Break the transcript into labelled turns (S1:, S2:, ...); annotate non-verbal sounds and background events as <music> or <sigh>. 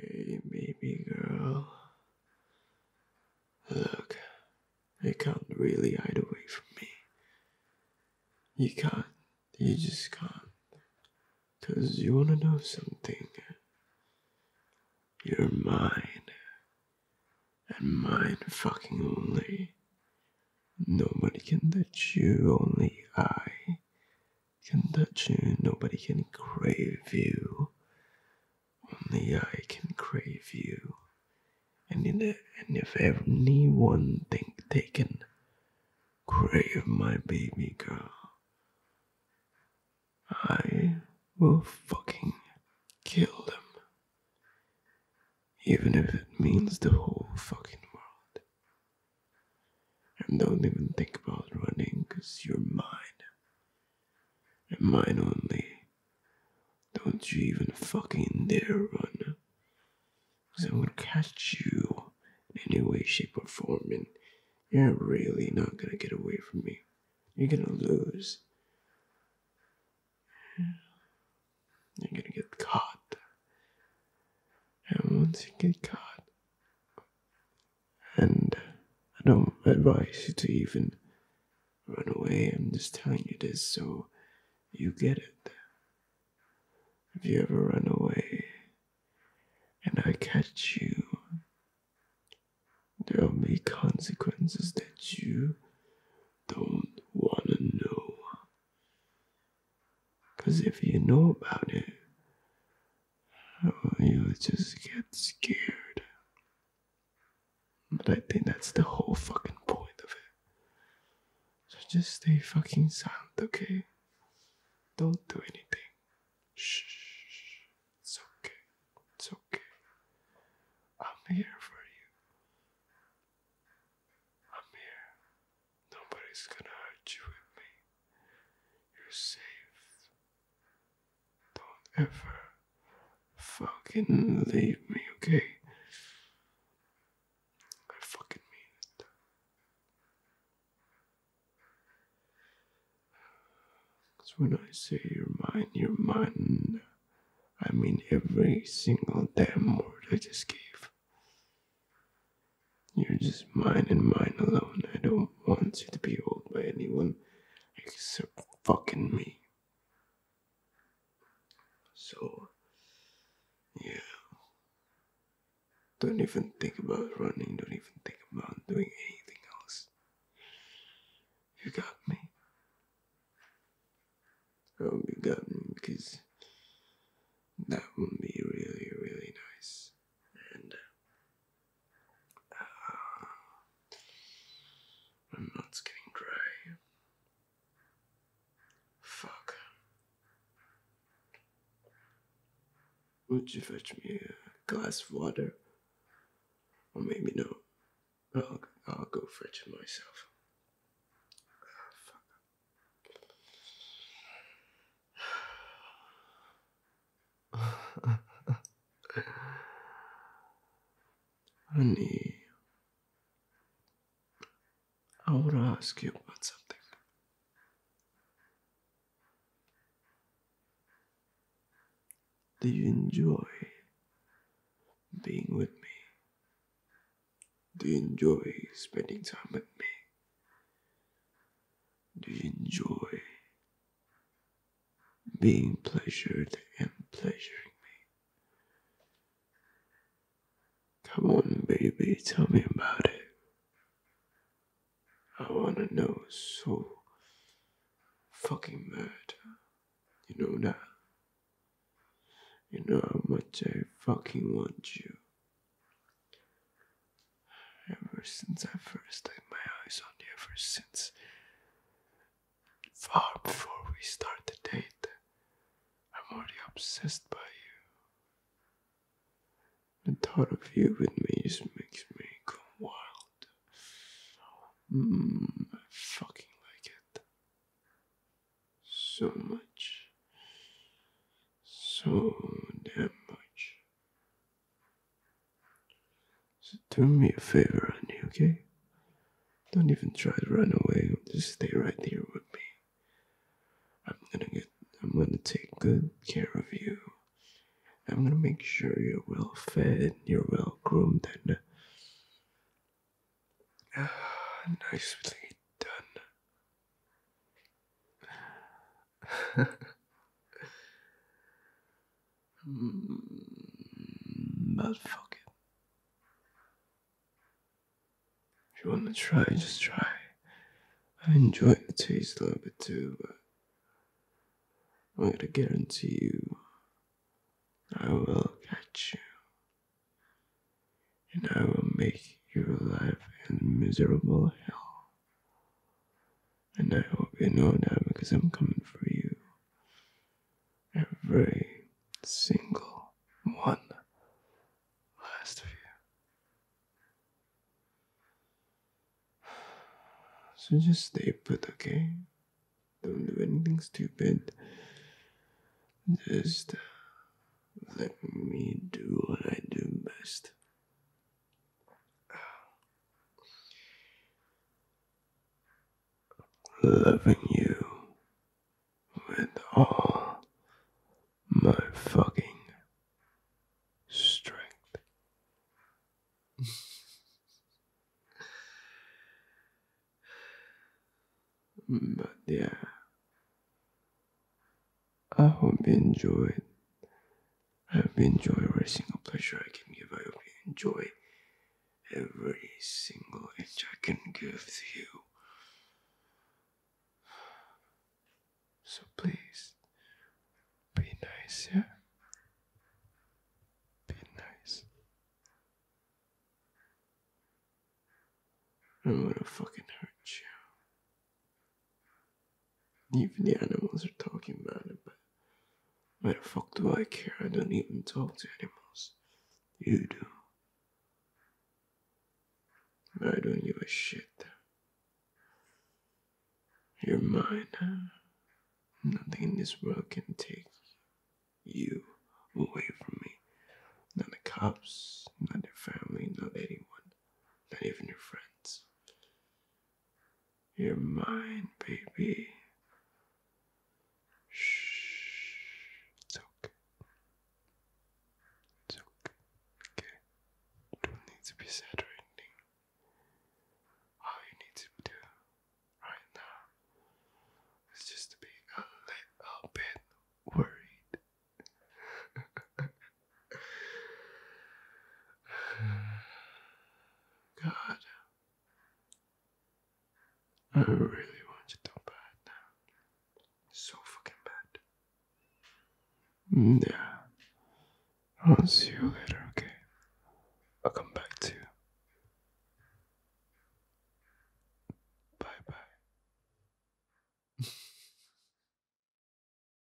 S1: Hey, baby girl. Look, you can't really hide away from me. You can't. You just can't. Cause you wanna know something. You're mine and mine fucking only. Nobody can touch you, only I can touch you. Nobody can crave you, only I can crave you. And, in and if anyone think they can crave my baby girl, I will fucking kill them. Even if it means the whole fucking world. And don't even think about running, cause you're mine. And mine only. Don't you even fucking dare run. Cause I'm gonna catch you in any way, shape, or form, and you're really not gonna get away from me. You're gonna lose. You're gonna get caught. And once you get caught, and I don't advise you to even run away, I'm just telling you this so you get it. If you ever run away and I catch you, There'll be consequences that you don't want to know. Because if you know about it, oh, you'll just get scared. But I think that's the whole fucking point of it. So just stay fucking silent, okay? Don't do anything. Shh, it's okay, it's okay. I'm here for you. I'm here. Nobody's gonna hurt you with me. You're safe. Don't ever fucking leave me, okay? I fucking mean it. Because when I say your mind, your mine. I mean every single damn word I just gave. You're just mine and mine alone. I don't want you to be owned by anyone except fucking me. So, yeah. Don't even think about running, don't even think about doing anything else. You got me. Oh, you got me because that would be really, really nice. And uh, my mouth's getting dry. Fuck. Would you fetch me a glass of water? Or maybe no. I'll, I'll go fetch it myself. Honey, ah, <sighs> I want to ask you about something. Do you enjoy being with me? Do you enjoy spending time with me? Do you enjoy being pleasured and pleasuring me? Come on, baby, tell me about it. I wanna know so fucking bad. You know that? You know how much I fucking want you. Ever since I first laid my eyes on you, ever since far before we start the date, I'm already obsessed by you. The thought of you with me just makes me go wild. Mmm, I fucking like it. So much. So damn much. So do me a favor, Annie, okay? Don't even try to run away. Just stay right there with me. I'm gonna get I'm gonna take good care of you. I'm gonna make sure you're well fed, you're well groomed and <sighs> nicely done. <laughs> Hmm, but fuck it. If you wanna try, just try. I enjoy the taste a little bit too, but I'm gonna guarantee you I will catch you. And I will make your life in miserable hell. And I hope you know that because I'm coming for you every single one. Last few. So just stay put, okay? Don't do anything stupid. Just uh, let me do what I do best loving you with all my fucking strength. but yeah, I hope you enjoyed. I hope you enjoy every single pleasure I can give. I hope you enjoy every single inch I can give to you. So please, be nice, yeah? Be nice. I don't wanna fucking hurt you. Even the animals are talking about it, but why the fuck do I care? I don't even talk to animals. You do. But I don't give a shit. You're mine. Nothing in this world can take you away from me. Not the cops, not your family, not anyone, not even your friends. You're mine, baby. Shh. It's okay. It's okay. Okay. You don't need to be sad or anything. All you need to do right now is just to be a little bit worried. <laughs> <sighs> God. I really want you to bad now. So fucking bad. Mm, yeah. I'll see you later, okay? I'll come back to you. Bye bye. <laughs>